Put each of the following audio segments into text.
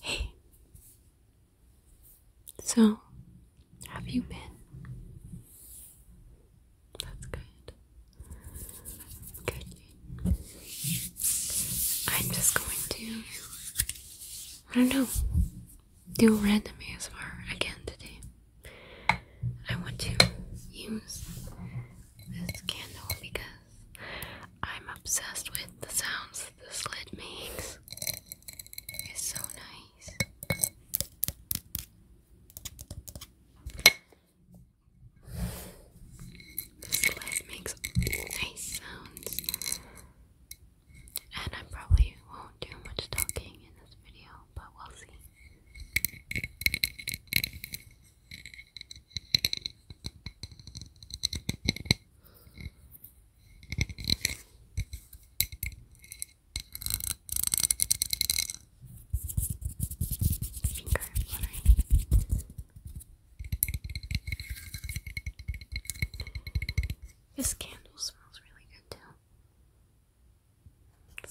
Hey. So, have you been? That's good. Good. I'm just going to, I don't know, do a random ASMR again today. I want to use this candle because I'm obsessed with the sounds the this makes. It's so nice. This lid makes nice sounds. And I probably won't do much talking in this video, but we'll see. This candle smells really good too. good.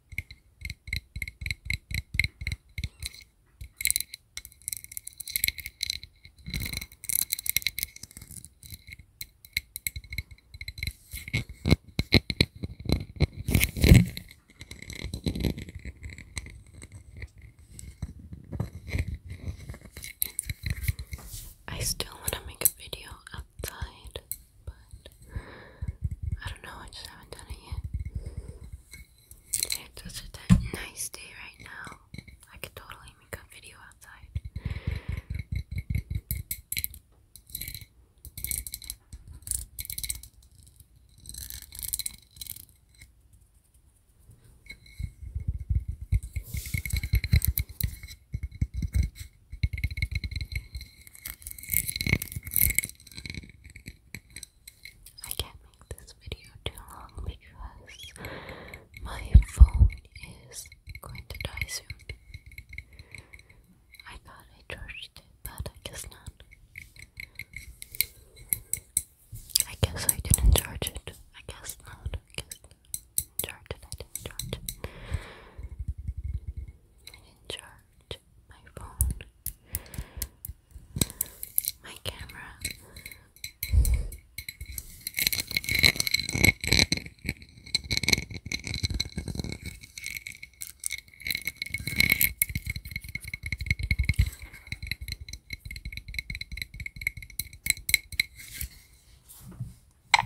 I still want to make a video outside, but I don't know, I just haven't done it yet. It's such a nice day right now. I could totally make a video outside. I can't make this video too long because my phone is going to die soon. I thought I charged it, but I guess not. I guess I didn't charge it. I guess not. I guess Charge it. charge it. I did charge my phone, my camera. I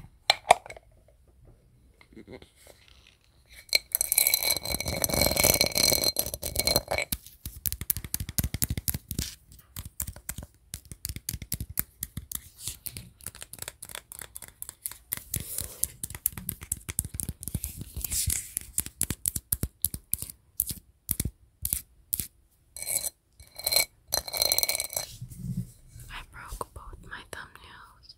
broke both my thumbnails.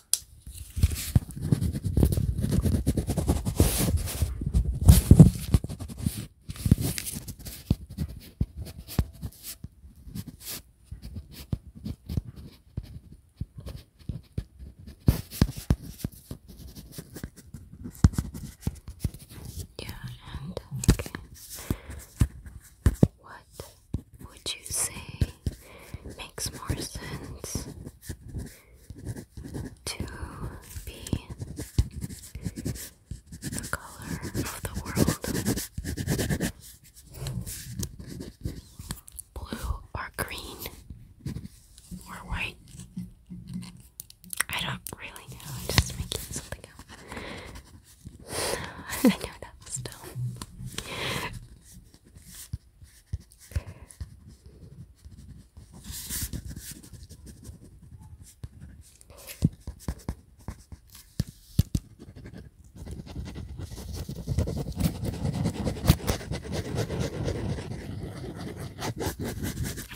Yeah, and okay. What would you say makes more sense to be the color of the world blue or green or white. I don't really know, just making something up. I know that was I'm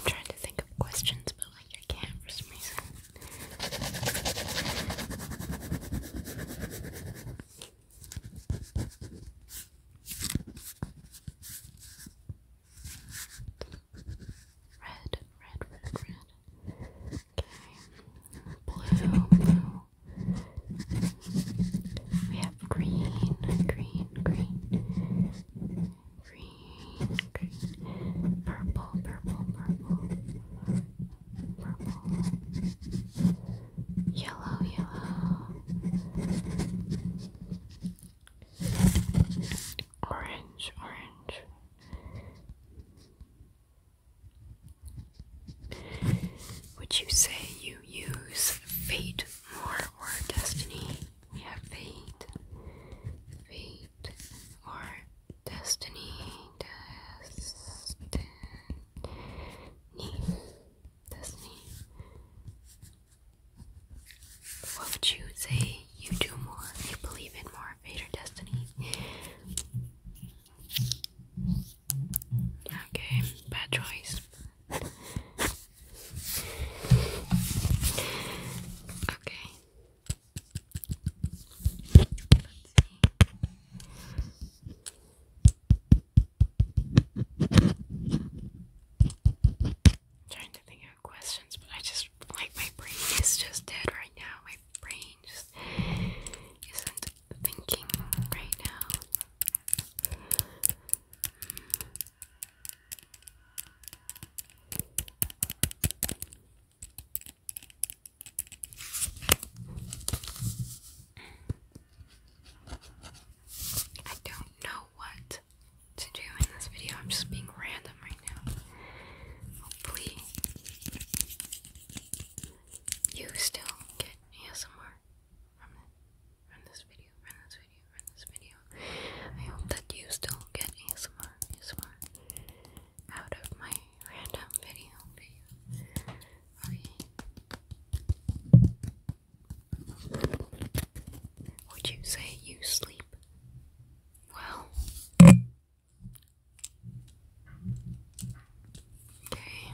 trying to think of questions, but like I can't for some reason. Red, red, red, red. Okay. Blue, We have green, green, green. Green, green. Purple, purple, purple. Purple yellow, yellow, orange, orange. Would you say you use fate more or destiny? We have fate, fate, or destiny, destiny knee, this What would you say you do more, you believe in more, fate or destiny? Okay, bad choice. okay. I'm trying to think of questions, but I just like my brain is just dead right now. My brain just isn't thinking right now. I don't know what to do in this video. I'm just being random right now. Hopefully, you still get ASMR from it. From this video, from this video, from this video. I hope that you still get ASMR, ASMR out of my random video. Would you say you sleep well? Okay.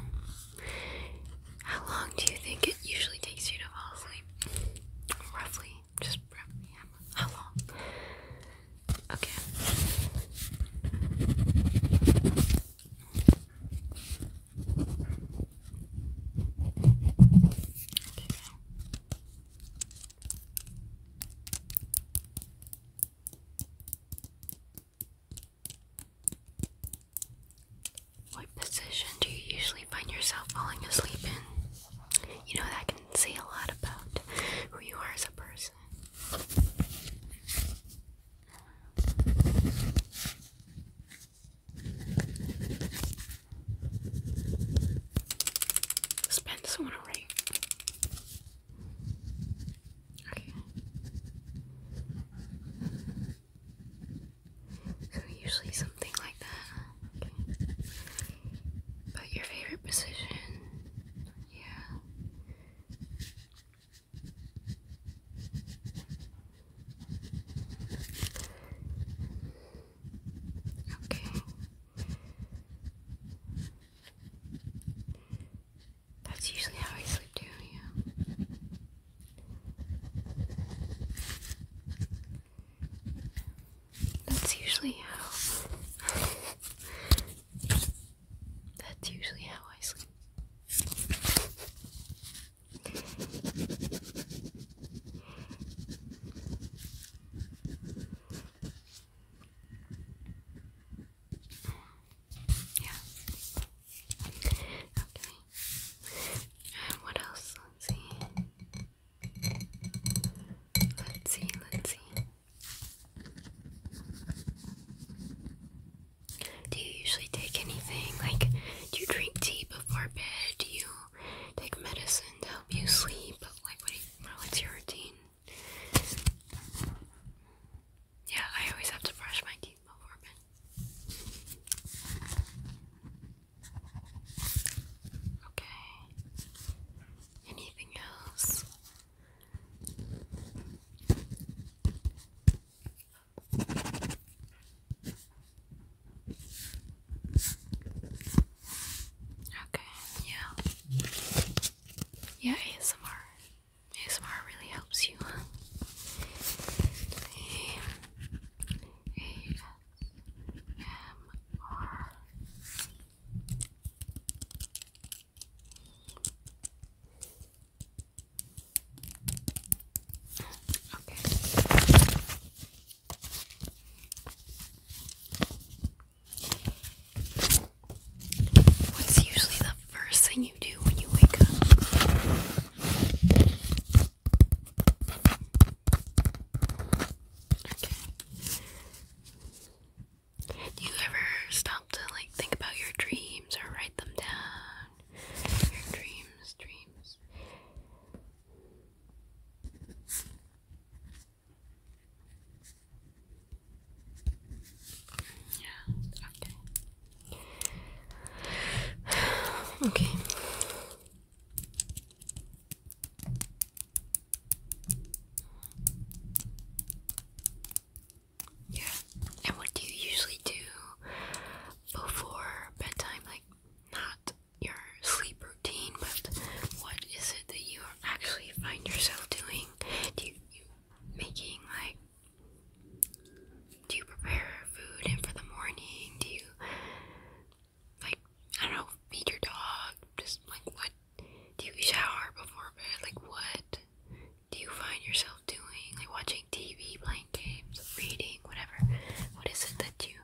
How long do you think it usually takes you to fall asleep? Roughly, just roughly. How long? Okay. What position do you usually find yourself falling asleep in? You know, that can say a lot about who you are as a person. Spend some on a ring. So usually something like that. But your favorite position, yeah. Okay. That's usually how I sleep too, yeah. That's usually how that's usually how I sleep. Yeah. Okay. And what else? Let's see. Let's see, let's see. Do you usually take anything? Like, do you drink tea before bed? Do you take medicine to help you sleep? Like, what what's your routine? Yeah, I always have to brush my teeth before bed. Okay. Anything else? Okay, yeah. Yeah, ASMR. ASMR really helps you, huh? Okay. What's usually the first thing you do when you wake up? Do you ever stop to like think about your dreams or write them down? Your dreams, dreams. Yeah, okay. okay. Yeah. And what do you usually do before bedtime? Like, not your sleep routine, but what is it that you actually find yourself doing? Do you, making like? Do you prepare food and for the morning? Do you like I don't know feed your dog? Just like what? Do you shower before bed? Like what do you find yourself doing? Like watching TV, playing games, reading, whatever. What is it that you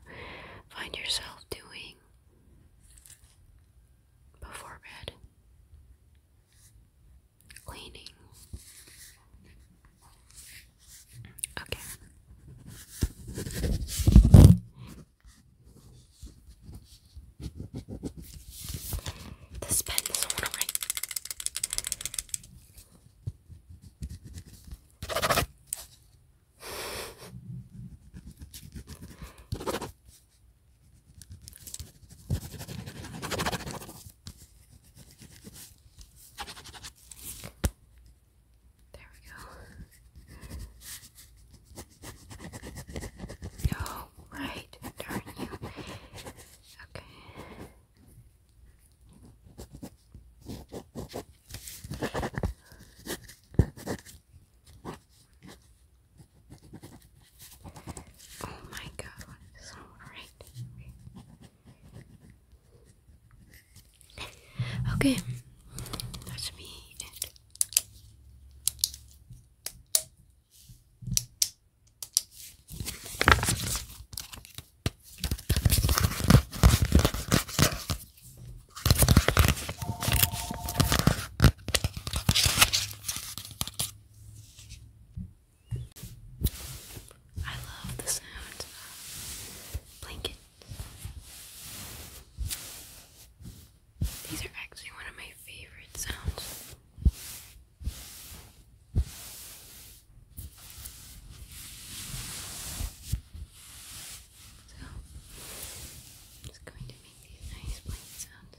find yourself doing before bed? Cleaning. Okay. This pen doesn't There we go. No. right, darn you. Okay. Oh my god, so Okay, that should be I love the sound of these are actually one of my favorite sounds. So, just going to make these nice plain sounds.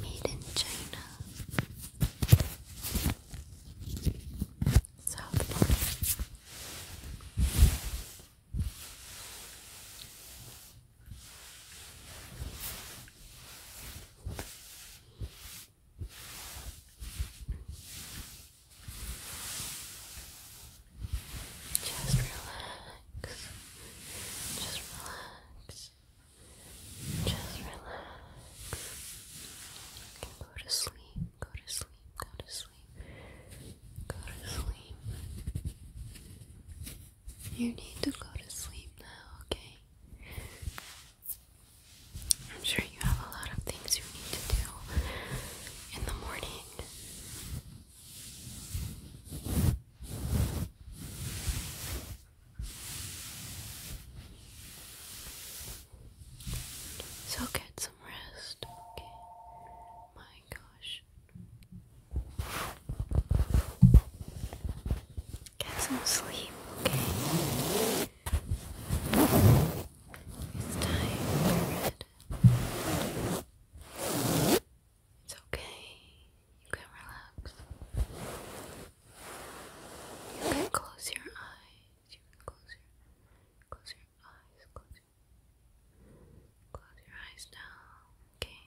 Made in China. South just relax. Just relax. Just relax. Okay, go to sleep. Go to sleep. Go to sleep. Go to sleep. Go to sleep. You need to go to sleep now, okay? I'm sure you have a lot of things you need to do in the morning. So get some rest, okay? My gosh, Get some sleep, okay? It's time for bed. It's okay. You can relax. You can close your eyes. You can close your close your eyes. Close your eyes now, okay?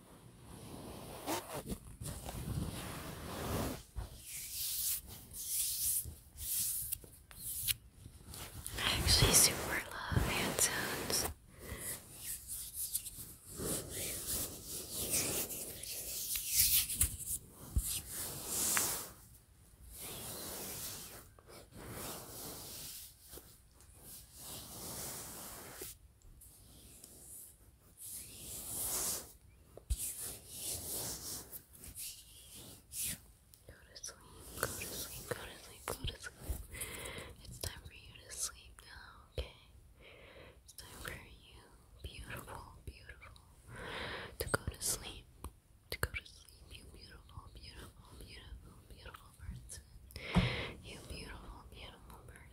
I actually super love hand sounds to sleep, go to sleep, go to sleep, go to sleep. It's time for you to sleep now, okay? It's time for you, beautiful, beautiful, to go to sleep. To go to sleep, you beautiful, beautiful, beautiful, beautiful person. You beautiful, beautiful person.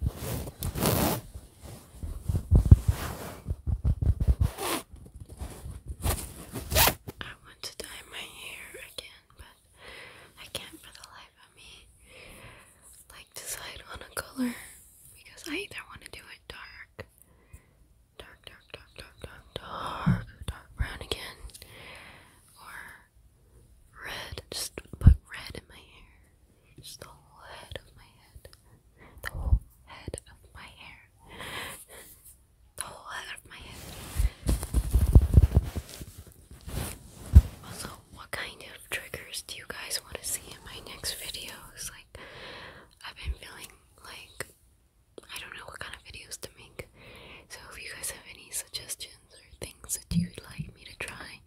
I want to dye my hair again, but I can't for the life of me like decide on a color because I either want to do it dark, dark, dark, dark, dark, dark, dark, brown again, or red. Just put red in my hair. It's the whole head of my head. The whole head of my hair. The whole head of my head. Also, what kind of triggers do you guys want to see in my next videos? Like, I've been feeling like I don't know what kind of videos to make. So, if you guys have any suggestions or things that you'd like me to try,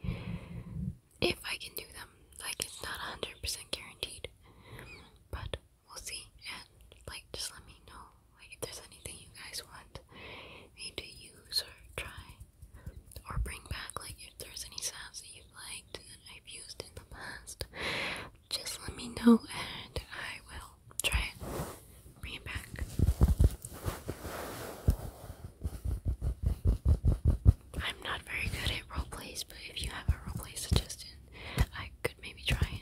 if I can do them. Like, it's not 100% guaranteed, but we'll see. And, like, just let me know, like, if there's anything you guys want me to use or try or bring back. Like, if there's any sounds that you've liked that I've used in the past, just let me know and I will try it. Bring it back. I'm not very good at role plays, but if you have a role play suggestion, I could maybe try it.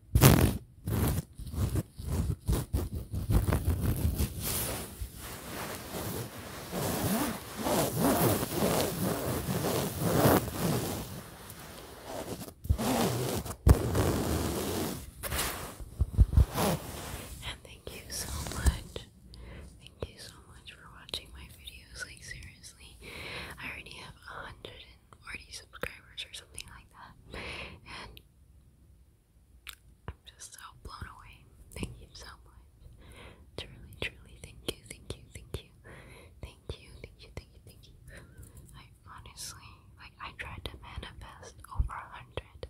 And thank you so much. Thank you so much for watching my videos. Like, seriously, I already have 140 subscribers or something like that. And I'm just so blown away. Thank you so much. Truly, truly, thank you, thank you, thank you, thank you, thank you, thank you, thank you. I honestly, like, I tried to manifest over a hundred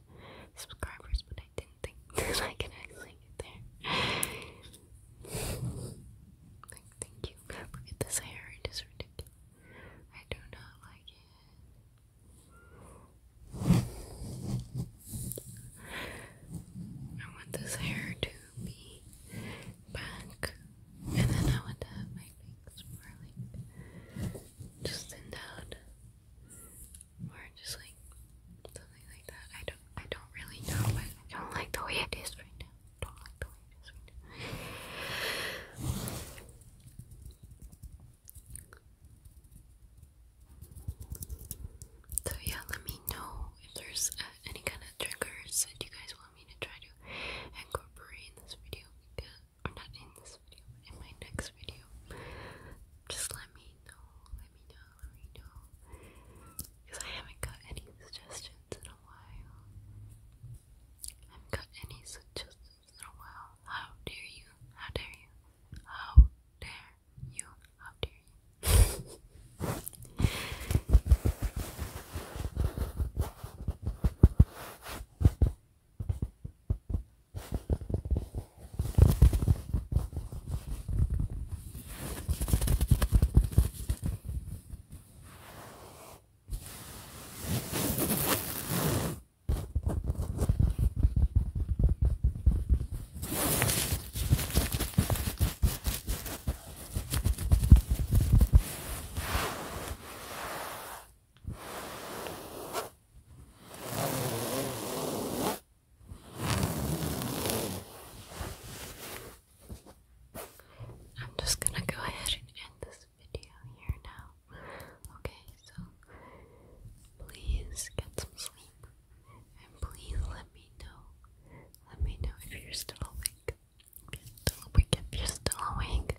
subscribers, but I didn't think I could actually get there. like, thank you. Look at this hair; it is ridiculous. I do not like it. I want this hair to be back, and then I want to have my bangs more like just thinned out, or just like something like that. I don't, I don't really know, but I don't like the way it is right now. Don't like the way it is right now. So yeah, let me know if there's uh, any kind of triggers that you guys want me to try to incorporate in this video, uh, or not in this video, but in my next video. Just let me know, let me know, let me know, because I haven't got any suggestions in a while. I have got any suggestions Oh, how dare you, how dare you, how dare you, how dare you. I'm just going to go ahead and end this video here now. Okay, so please get some sleep and please let me know. Let me know if you're still awake. If you're still awake,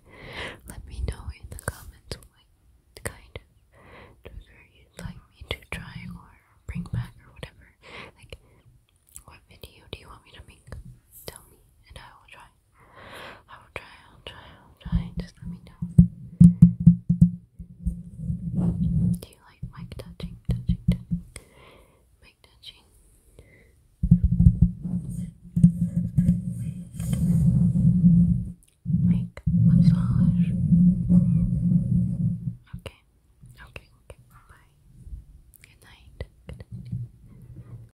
let me know in the comments what kind of you like me to try or bring back or whatever. Like, what video do you want me to make? Tell me, and I will try. I will try, I'll try, I'll try. Just let me know. Do you like mic touching? Touching, Mic touching. Mic massage. Okay. Okay, Bye. Good night. Good